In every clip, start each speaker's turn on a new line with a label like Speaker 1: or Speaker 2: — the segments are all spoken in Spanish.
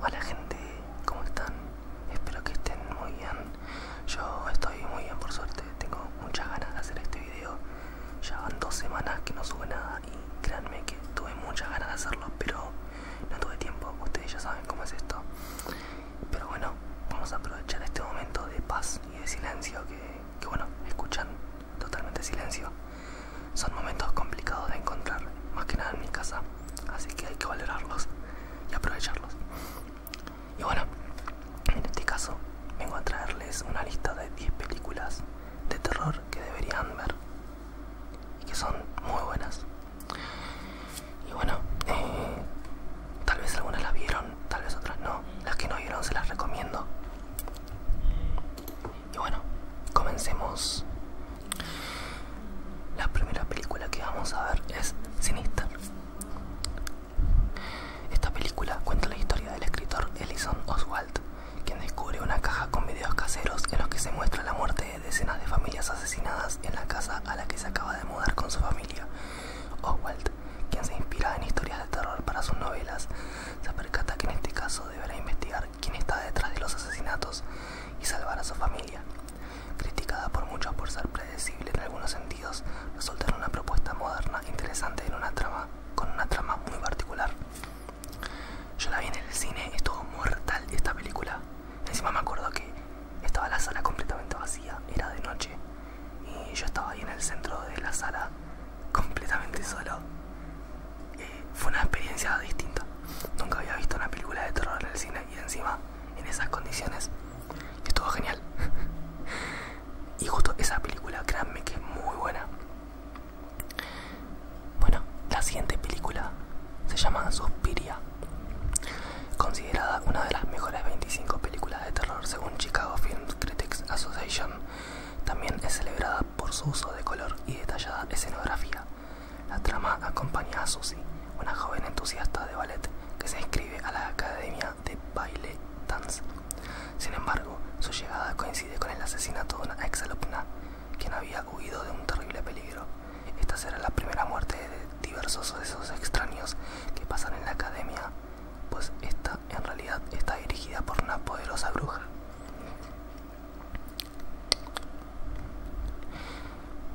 Speaker 1: Hola gente, ¿cómo están? Espero que estén muy bien. Yo estoy muy bien por suerte, tengo muchas ganas de hacer este video. Ya van dos semanas que no sube nada y créanme que tuve muchas ganas de hacerlo, pero no tuve tiempo. Ustedes ya saben cómo es esto. Pero bueno, vamos a aprovechar este momento de paz y de silencio que, que bueno, escuchan totalmente silencio. Son momentos complicados de encontrar, más que nada en mi casa, así que hay que valorarlos y aprovecharlos. Y bueno, en este caso vengo a traerles una lista de 10 películas de terror que deberían ver y que son muy buenas. Y bueno, eh, tal vez algunas las vieron, tal vez otras no. Las que no vieron se las recomiendo. Y bueno, comencemos. La primera película que vamos a ver es Sinister. Esta película cuenta la historia del escritor Ellison Oswald, quien descubre una caja con videos caseros en los que se muestra la muerte de decenas de familias asesinadas en la casa a la que se acaba de mudar con su familia. Oswald, quien se inspira en historias de terror para sus novelas, se percata que en este caso deberá investigar quién está detrás de los asesinatos y salvar a su familia. Criticada por muchos por ser predecible en algunos sentidos, resulta en una propuesta moderna interesante en una trama, con una trama muy particular. Yo la vi en el cine, estuvo mortal esta película. Encima me acuerdo que estaba la sala completamente vacía, era de noche, y yo estaba ahí en el centro de la sala completamente solo. Eh, fue una experiencia distinta. Nunca había visto una película de terror en el cine y encima en esas condiciones. Estuvo genial. y justo esa película, créanme que es muy buena. Bueno, la siguiente película se llama Suspiria. Considerada una de las mejores 25 películas de terror según Chicago Film Critics Association, también es celebrada por su uso de color y detallada escenografía. La trama acompaña a Susie, una joven entusiasta de ballet que se inscribe a la Academia de Baile Dance. Sin embargo, su llegada coincide con el asesinato de una exalumna, quien había huido de un terrible peligro. Esta será la primera muerte de diversos sucesos extraños que pasan en la academia, pues esta en realidad está dirigida por una poderosa bruja.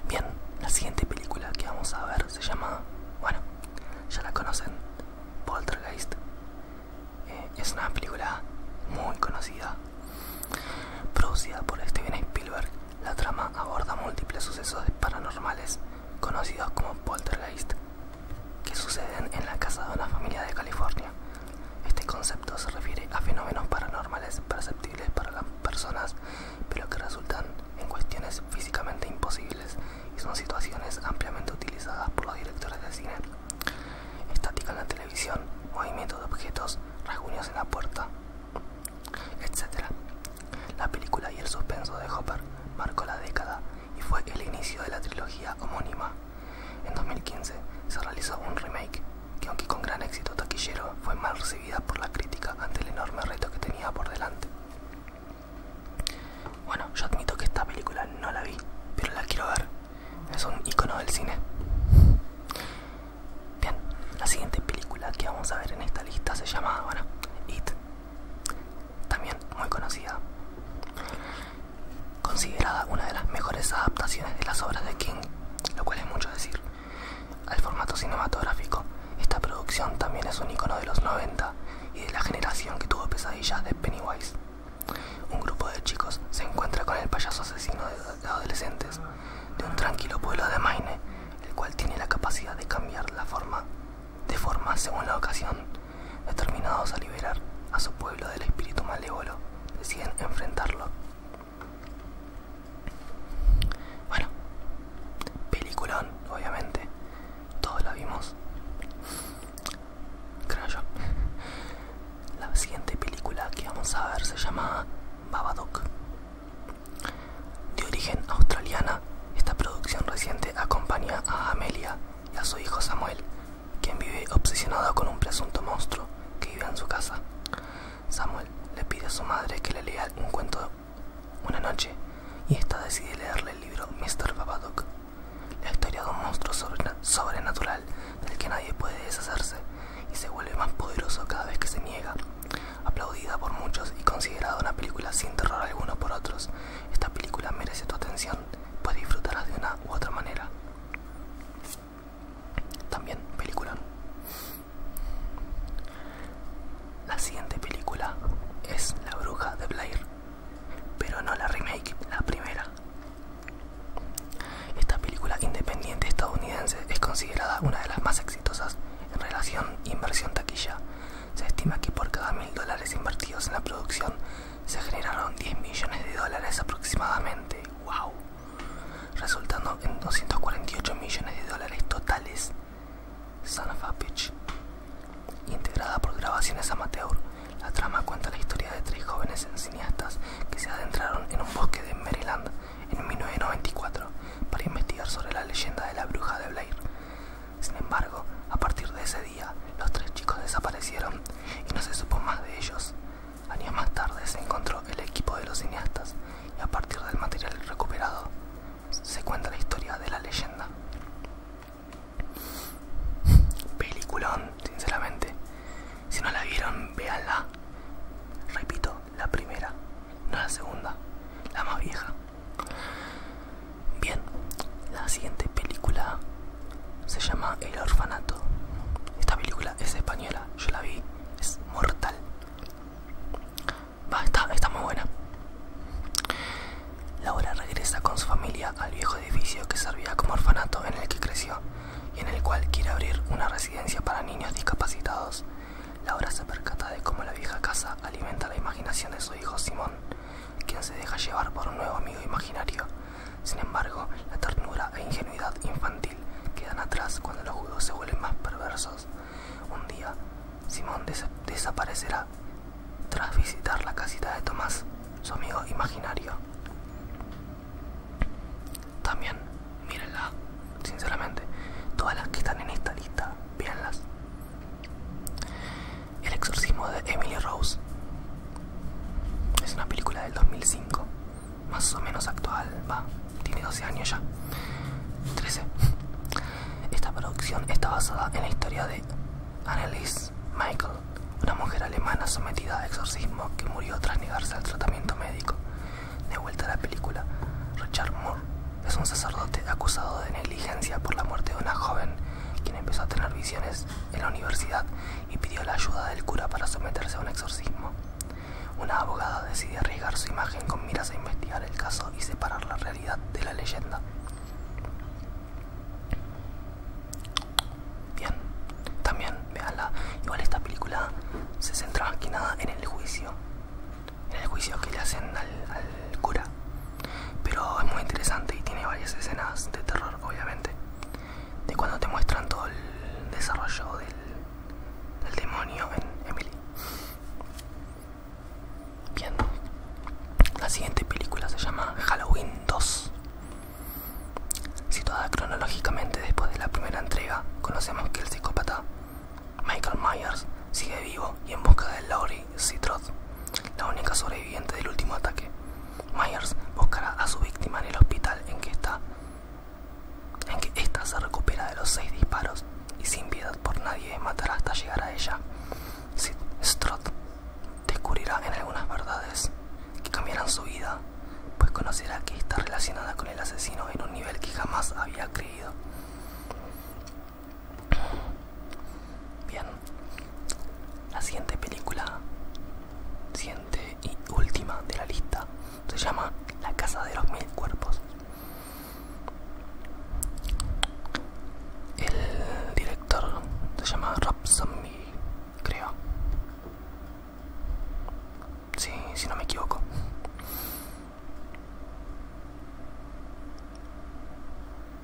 Speaker 1: Bien, la siguiente película que vamos a ver se llama, bueno, ya la conocen, Poltergeist. Eh, es una película muy conocida, producida por Steven Spielberg. La trama aborda múltiples sucesos paranormales conocidos como poltergeist que suceden en la casa de una familia de California. Este concepto se refiere a fenómenos paranormales perceptibles para las personas, pero que resultan en cuestiones físicamente imposibles y son situaciones ampliamente utilizadas por los directores de cine. Estática en la televisión, movimiento de objetos, rasguños en la puerta, etc. La película y el suspenso de Hopper marcó la década y fue el inicio de la trilogía homónima en 2015 se realizó un remake que aunque con gran éxito taquillero fue mal recibida por la crítica ante el enorme reto que tenía por delante. Bueno, yo admito que esta película no la vi, pero la quiero ver. Es un icono del cine. Bien, la siguiente película que vamos a ver en esta lista se llama, bueno, It. También muy conocida considerada una de las mejores adaptaciones de las obras de King, lo cual es mucho decir. Al formato cinematográfico, esta producción también es un icono de los 90 y de la generación que tuvo pesadillas de Pennywise. Un grupo de chicos se encuentra con el payaso asesino de adolescentes de un tranquilo pueblo de Maine, el cual tiene la capacidad de cambiar la forma de forma según la ocasión Determinados a liberar a su pueblo del espíritu malévolo, deciden enfrentarlo. Bueno, peliculón, obviamente. Todos la vimos. Creo yo. La siguiente película que vamos a ver se llama Babadook. De origen australiana, esta producción reciente acompaña a Amelia a su hijo Samuel, quien vive obsesionado con un presunto monstruo que vive en su casa. Samuel le pide a su madre que le lea un cuento una noche y esta decide leerle el libro Mr. Babadook, la historia de un monstruo sobrenatural del que nadie puede deshacerse y se vuelve más poderoso cada vez que se niega. Aplaudida por muchos y considerada una película sin terror alguno por otros, esta película merece tu atención Puedes pues de una u otra manera. También película. La siguiente película es La Bruja de Blair, pero no la remake, la primera. Esta película independiente estadounidense es considerada una de las más exitosas en relación inversión taquilla. Se estima que por cada mil dólares invertidos en la producción se generaron 10 millones de dólares aproximadamente, wow, resultando en 248 millones de dólares totales. Son of Integrada por grabaciones amateur, la trama cuenta la historia de tres jóvenes cineastas que se adentraron en un bosque de Maryland en 1994 para investigar sobre la leyenda de la bruja de Blair. Sin embargo, a partir de ese día, los tres chicos desaparecieron y no se supo más de ellos. Años más tarde se encontró el equipo de los cineastas y a partir del material recuperado se cuenta la historia de la leyenda. Peliculón, sinceramente. Si no la vieron, véanla. Repito, la primera, no la segunda, la más vieja. Bien, la siguiente película se llama El Orfanato. Esta película es española, yo la vi, es mortal. Va, está, está muy buena. Laura regresa con su familia al viejo edificio que servía como orfanato en el que creció y en el cual quiere abrir una residencia para niños discapacitados. Laura se percata de cómo la vieja casa alimenta la imaginación de su hijo Simón, quien se deja llevar por un nuevo amigo imaginario. Sin embargo, la ternura e ingenuidad infantil quedan atrás cuando los judos se vuelven más perversos. Un día, Simón desaparecerá tras visitar la casita de Tomás, su amigo imaginario. También, mírenla, sinceramente, todas las que están en esta lista, véanlas. El exorcismo de Emily Rose. Es una película del 2005, más o menos actual, va, tiene 12 años ya. 13. Esta producción está basada en la historia de Annelies Michael, una mujer alemana sometida a exorcismo que murió tras negarse al tratamiento médico. De vuelta a la película, Richard Moore es un sacerdote acusado de negligencia por la muerte de una joven quien empezó a tener visiones en la universidad y pidió la ayuda del cura para someterse a un exorcismo. Una abogada decide arriesgar su imagen con miras a investigar el caso y separar la realidad de la leyenda. Bien, también veanla. Igual esta película se centra más que nada en el juicio. En el juicio que le hacen al cura. Pero es muy interesante y tiene varias escenas de terror, obviamente. De cuando te muestran todo el desarrollo del, demonio en Emily. Bien. La siguiente película se llama Halloween 2. Situada cronológicamente después de la primera entrega, conocemos que el psicópata Michael Myers sigue vivo y en busca de Laurie si la única sobreviviente del último ataque. Myers buscará a su víctima en el hospital en que está, en que ésta se recupera de los seis disparos y sin piedad por nadie matará hasta llegar a ella. Trot descubrirá en algunas verdades que cambiarán su vida, pues conocerá que está relacionada con el asesino en un nivel que jamás había creído. Bien. La siguiente película, siguiente y última de la lista, se llama La Casa de los Mil Cuerpos. El director se llama Rob Zombie, creo. Sí, si no me equivoco.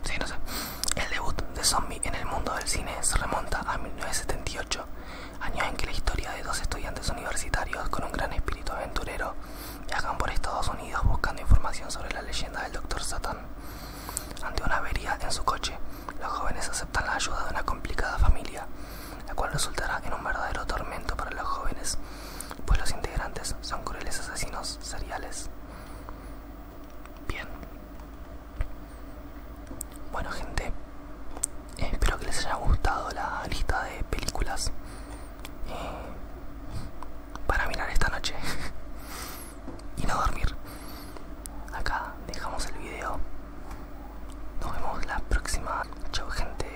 Speaker 1: Sí, no sé. El debut de Zombie en el mundo del cine se remonta a 1978, año en que la historia de dos estudiantes universitarios con un gran espíritu aventurero viajan por Estados Unidos buscando información sobre la leyenda del Dr. Satan. Ante una avería en su coche, los jóvenes aceptan la ayuda de una complicada familia, la cual resultará en un verdadero tormento para los jóvenes, pues los integrantes son crueles asesinos seriales. Bien. Bueno gente, eh, espero que les haya gustado la lista de películas eh, para mirar esta noche y no dormir. Acá dejamos el video. Nos vemos la próxima. Chau gente.